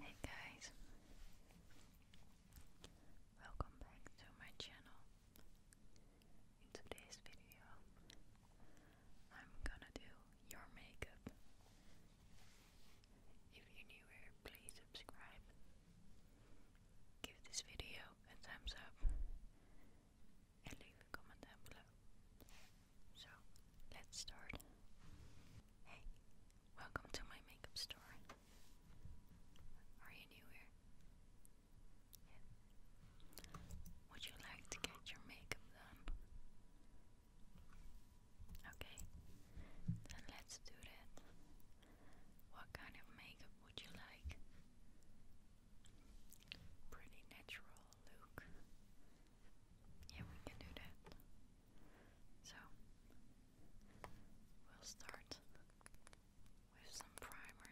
Hey guys, welcome back to my channel. In today's video, I'm gonna do your makeup. If you're new here, please subscribe. Give this video a thumbs up and leave a comment down below. So, let's start. Hey, welcome to my makeup store. Are you new here? Would you like to get your makeup done? Okay, then let's do that. What kind of makeup would you like? Pretty natural look. Yeah, we can do that. So, we'll start with some primer.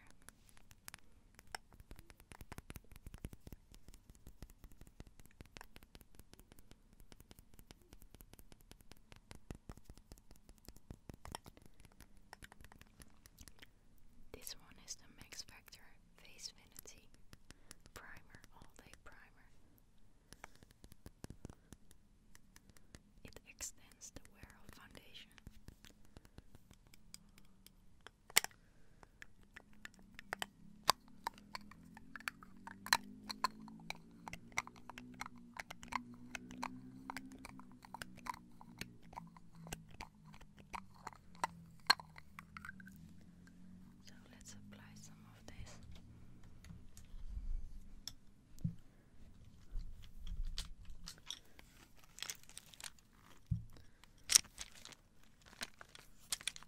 This one is the Max Factor Face Finity Primer All Day Primer. It extends the wear of foundation. So let's apply some of this. Got a foundation brush. Got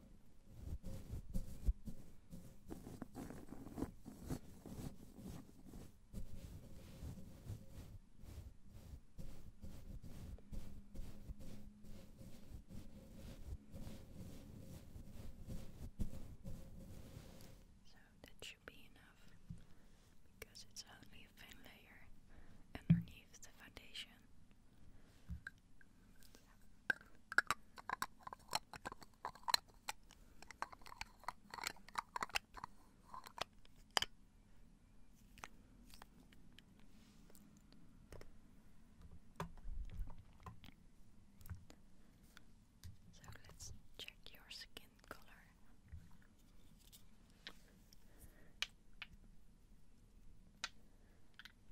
So that should be enough because it's only a thin layer underneath the foundation. So let's check your skin color. Um,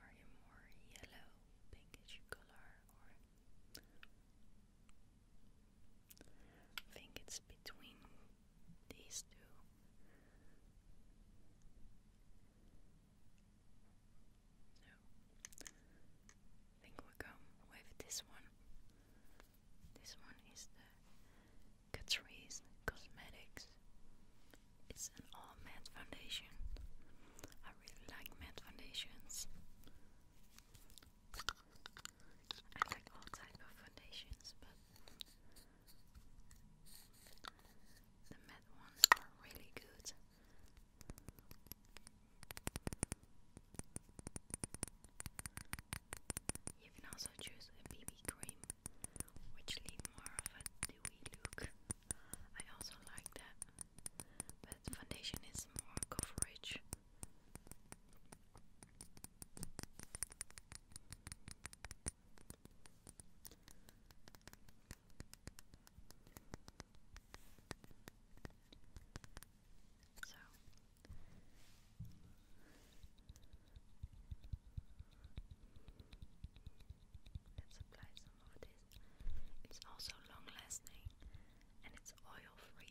are you more yellow, pinkish color, or I think it's between these two? So I think we go with this one. This one is the Catrice Cosmetics. It's an all matte foundation. I really like matte foundations. I like all type of foundations, but the matte ones are really good. You can also choose a BB cream, which leave more of a dewy look. I also like that, but foundation is more coverage. So, Let's It's also long lasting and it's oil free.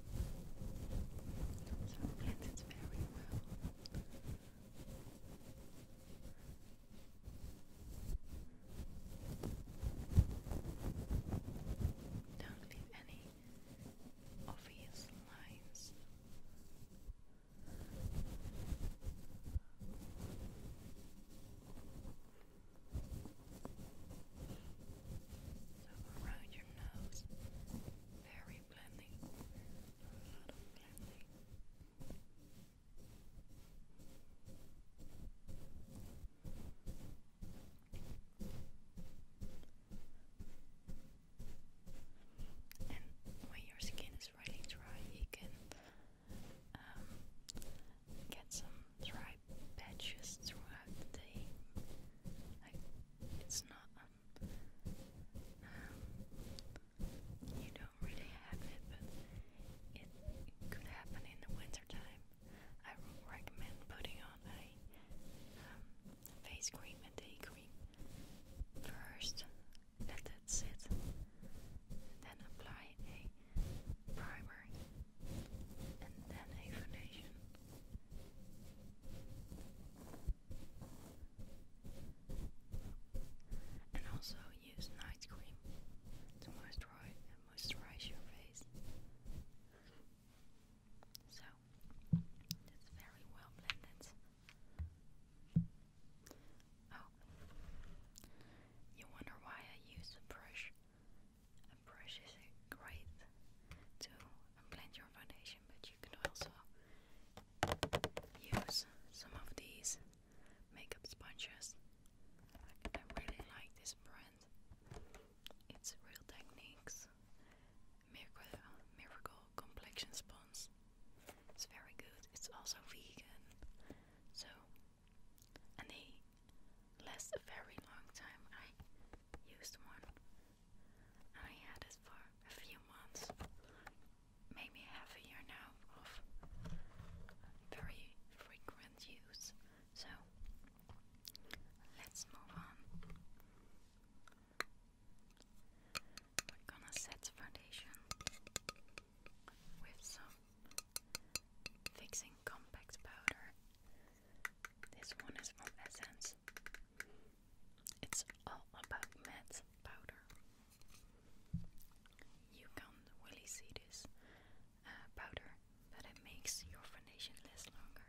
So it Don't leave any obvious lines. So around your Very blending. A lot of blending. And when your skin is really dry, you can um, get some dry dry throughout the it's not um, um you don't really have it, but it, could happen in the winter I recommend putting on a um, face cream and day cream first. Let that sit. Then apply a primer and then a And also use night cream to moisturize your face. So that's very well blended. Oh, you wonder why I use a brush? brush great to blend your foundation, but you can also use some of these makeup sponges. I really like this brand. It's Real Techniques Miracle, Miracle Complexion Sponge. It's very good. It's also vegan. So, and they last a very long time used one. I had it for a few months, maybe half a year now of very frequent use. So let's move on. We're gonna set foundation with some fixing compact powder. This one is from Essence. It's all about matte powder. You can't really see this uh, powder, but it makes your foundation last longer.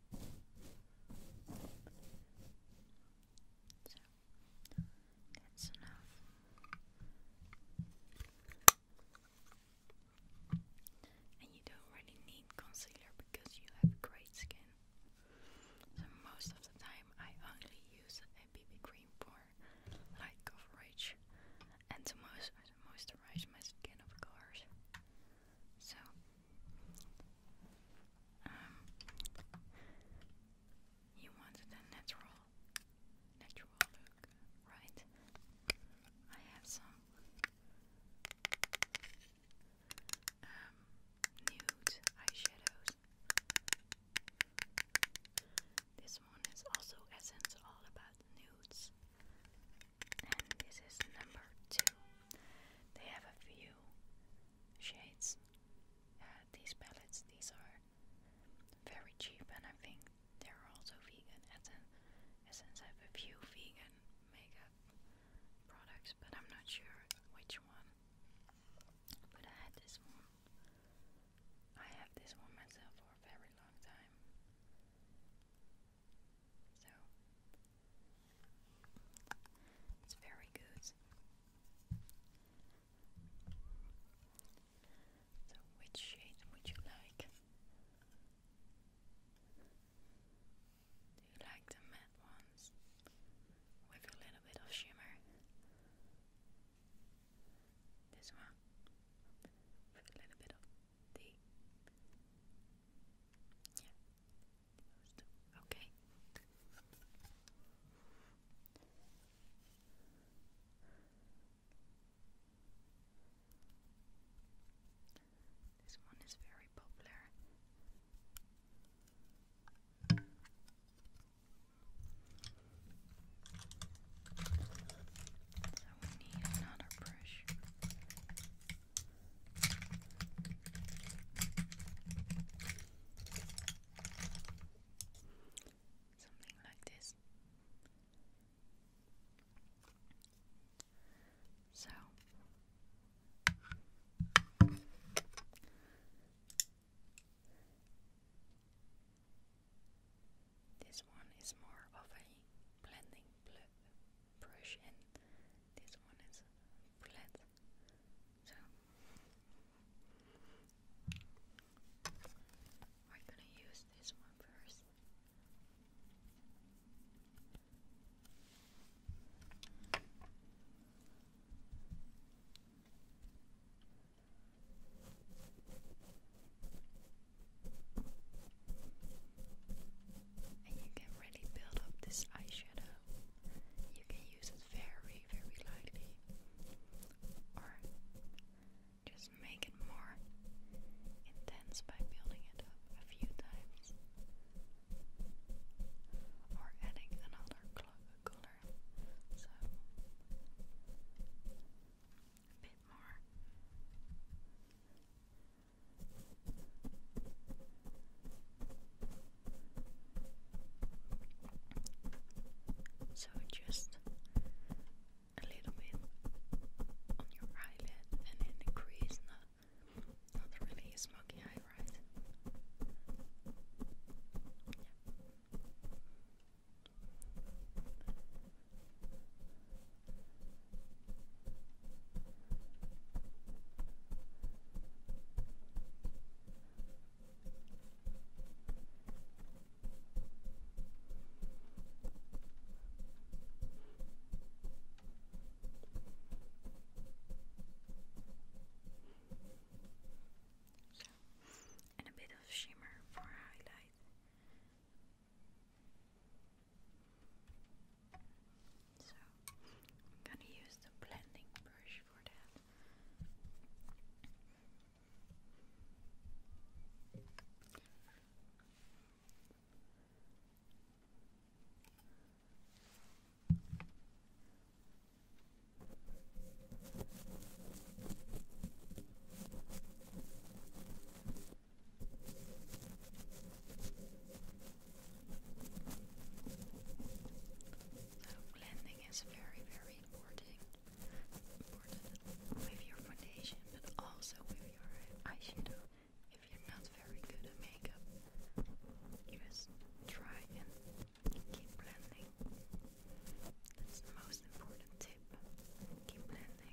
So that's enough. And you don't really need concealer because you have great skin. So most of the time I only use a BB cream for light coverage and to most moisturize my skin of course. So um, you wanted a natural, natural look, right? I have some um, nude eyeshadows. This one is also Essence All About Nudes. And this is number two. They have a few shades. Uh, these palettes, these are very cheap, and I think they're also vegan. As in, since I have a few vegan makeup products, but I'm not sure which one. But I had this one. I have this one myself for a very long time. So it's very good. So which shade would you like? Do you like the matte ones with a little bit of shimmer? This one with a little bit of the yeah okay this one is very popular so we need another brush. Something like this. So this one is more of a blending brush and this one is flat. So we're gonna use this one first and you can really build up this eyeshadow. You can use it very, very lightly, or just make it more intense by building it up a few times, or adding another color. So a bit more. So just a little bit on your eyelid and then not, not really a smoky eye, right? and a bit of shimmer for highlight so I'm gonna use the blending brush for that. So blending is very, very important. Important with your foundation, but also with your eyeshadow. If you're not very good at makeup, just try and keep blending. That's the most important tip. Keep blending.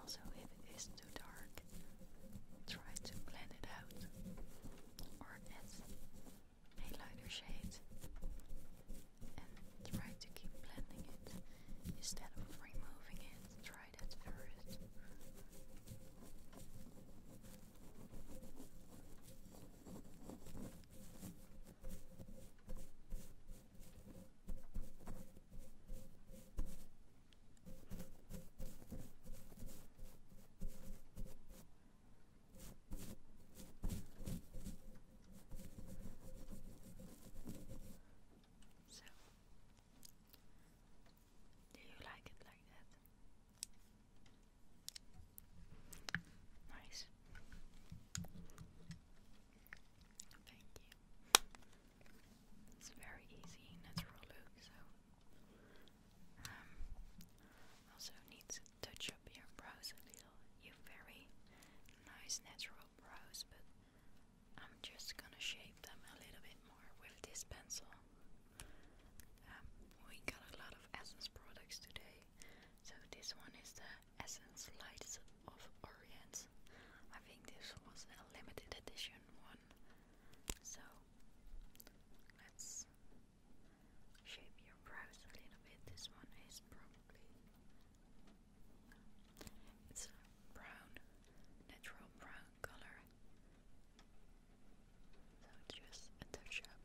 Also, if it is too dark, try to blend it out or add a lighter shade and try to keep blending it instead of removing it. Try that first. So, do you like it like that? Nice. Thank you. It's very easy, natural look, so. Um, also needs touch up your brows a little. You very nice natural brows, but I'm just gonna shape them a little bit more with this pencil. Um, we got a lot of Essence products today, so this one is the Essence Lights of Orient. I think this was a limited edition one. So let's shape your brows a little bit. This one is probably it's brown, natural brown color. So just a touch up.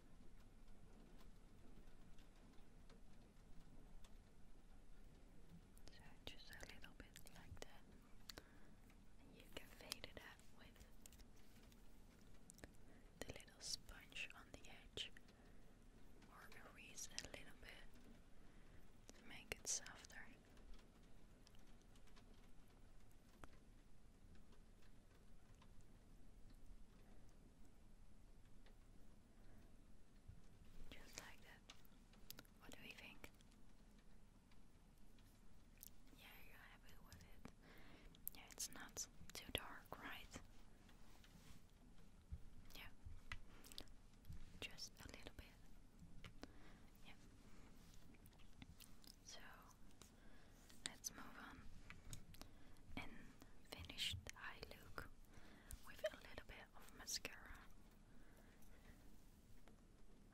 So just a little bit like that, you can fade it out with the little sponge on the edge, or erase a little bit to make it softer. Just like that. What do we think? Yeah, you're happy with it. Yeah, it's not too dark, right? Yeah. Just a little bit. Yeah. So Let's move on and finish the look with a little bit of mascara.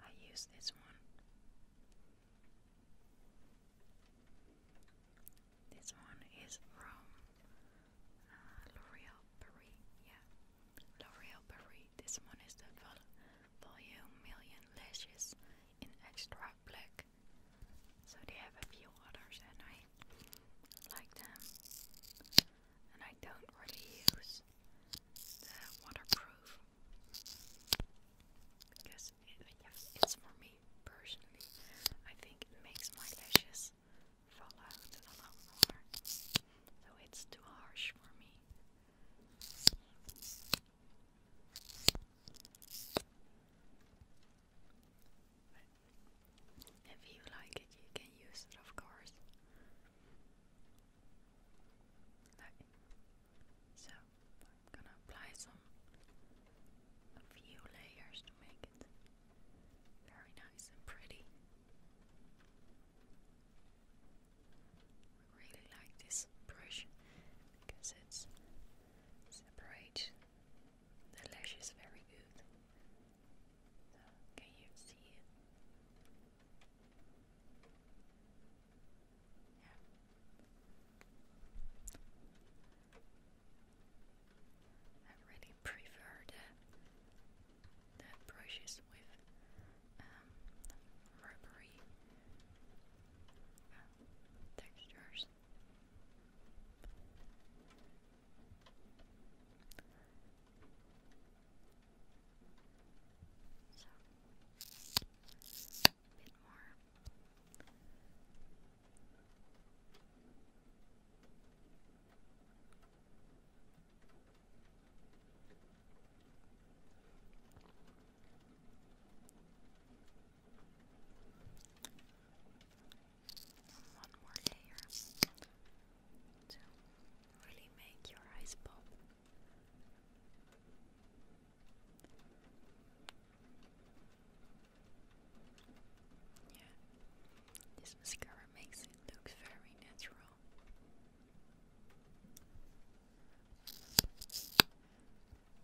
I use this one. This one is from uh, L'Oreal Paris. Yeah, L'Oreal Paris. This one is the Volume Million Lashes in Extra Black. So they have a few others and I like them. And I don't really use the waterproof because it's for me personally. I think it makes my lashes fall out a lot more. So it's too harsh for me if you like it, you can use it, of course. So I'm gonna apply some few layers to make it very nice and pretty. I really like this brush because it separates the lash is very good. can you see it? I really prefer the, the brushes with um, rubbery uh, textures. So, a bit more. Okay. One more layer to really make your eyes pop. Yeah, this mascara makes it look very natural.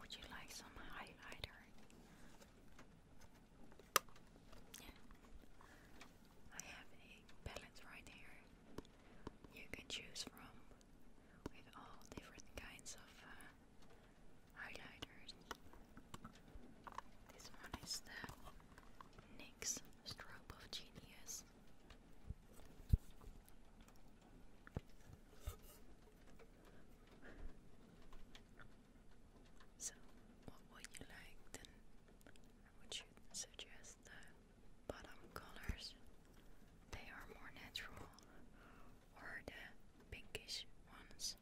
would you like some highlighter? I have a palette right here. You can choose from with all different kinds of uh, highlighters. This one is the Nick's strobe of genius. So, what would you like then? Would you suggest the bottom colors? They are more natural, or the pinkish ones,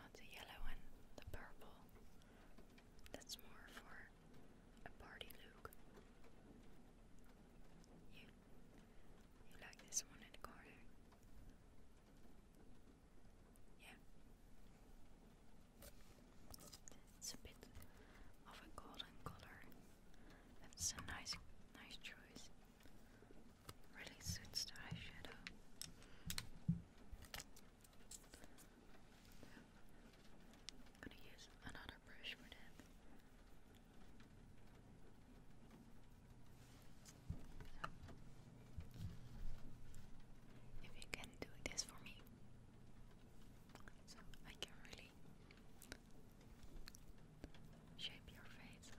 not the yellow and the purple. That's more for a party look. You, you like this one in the corner? Yeah. It's a bit of a golden color. That's a nice, nice choice. Really suits the eyeshadow. I'm gonna use another brush for that. if you can do this for me, so I can really shape your face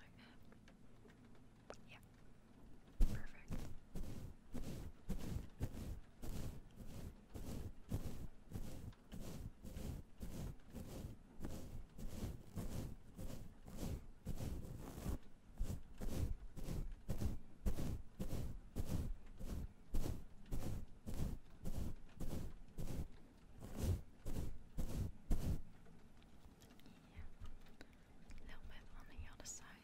Yeah, perfect. A little bit on the other side.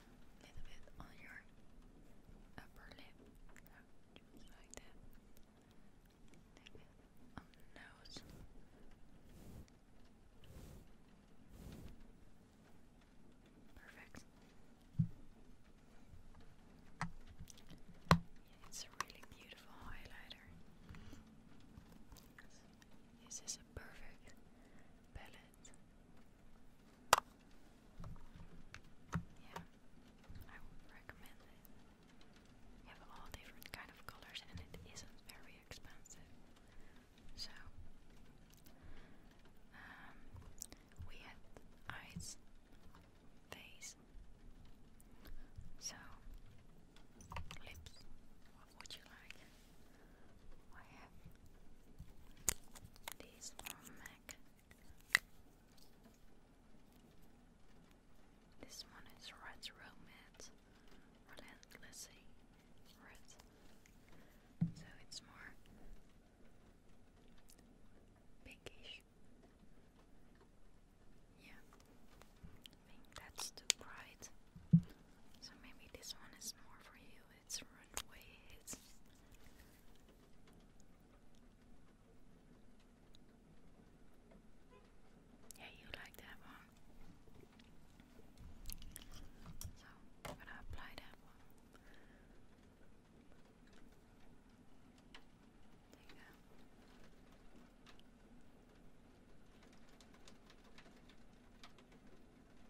little bit on your upper lip, just like that. A little bit on nose. Perfect. it's a really beautiful highlighter. This is a perfect palette yeah, I would recommend it. You have all different kind of colors and it isn't very expensive. So um, we had eyes, face, so lips. What would you like? I have this one Mac. This one is Red Romance, Relentlessly Red. So it's more pinkish. Yeah, I think that's too bright. So maybe this one is more for you its runways. Yeah, you like that one. So, I'm gonna apply that one. There you go.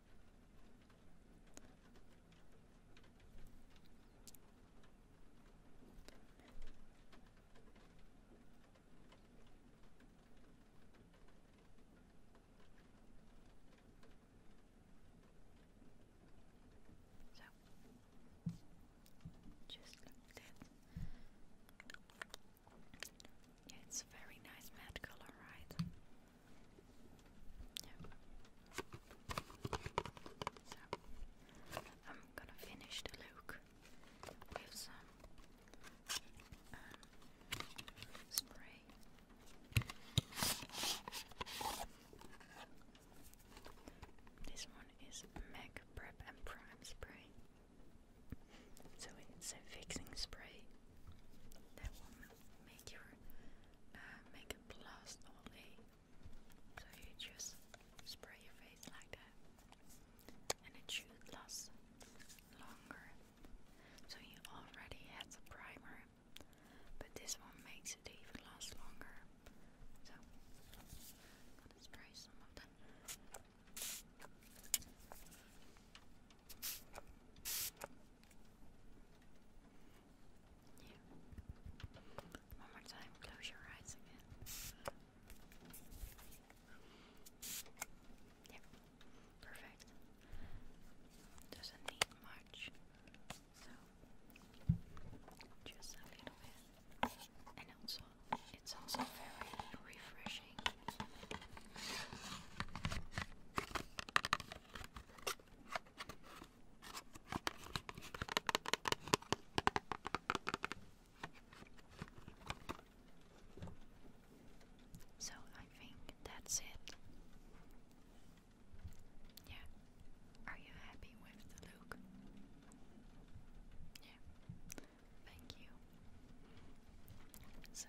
So just look at that. Yeah, it's a very nice matte color, right? So, I'm gonna finish the look with some um, spray. This one is MAC Prep and Prime Spray. So it's a fixing spray make your uh, makeup last all day. So you just spray your face like that, and it should last longer. So you already had the primer, but this one makes it even last longer. So I'm spray some of that. One more time, close your eyes again. Yep, perfect. Doesn't need much, so just a little bit. And also, it's also very refreshing. So I think that's it. Yeah. Are you happy with the look? Yeah. Thank you. So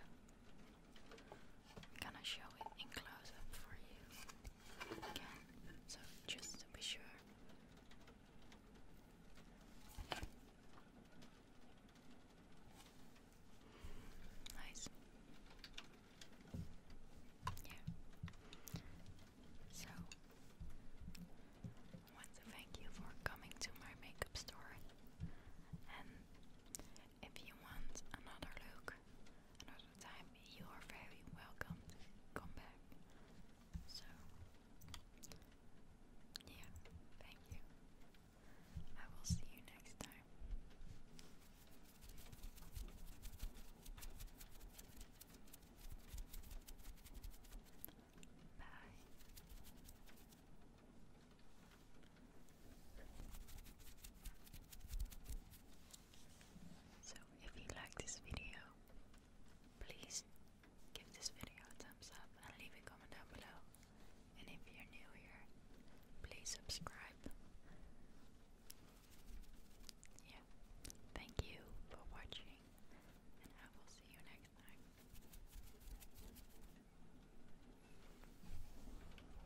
I'm gonna show it in close up for you again, so just to be sure. Nice. Yeah. So, I want thank you for coming to my makeup store if you want another look another time, you are very welcome. Come back. So, yeah, thank you. I will see you next time. Bye. So if you like this video, please give this video a thumbs up and leave a comment down below. And if you're new here, please subscribe. Yeah. Thank you for watching and I will see you next time.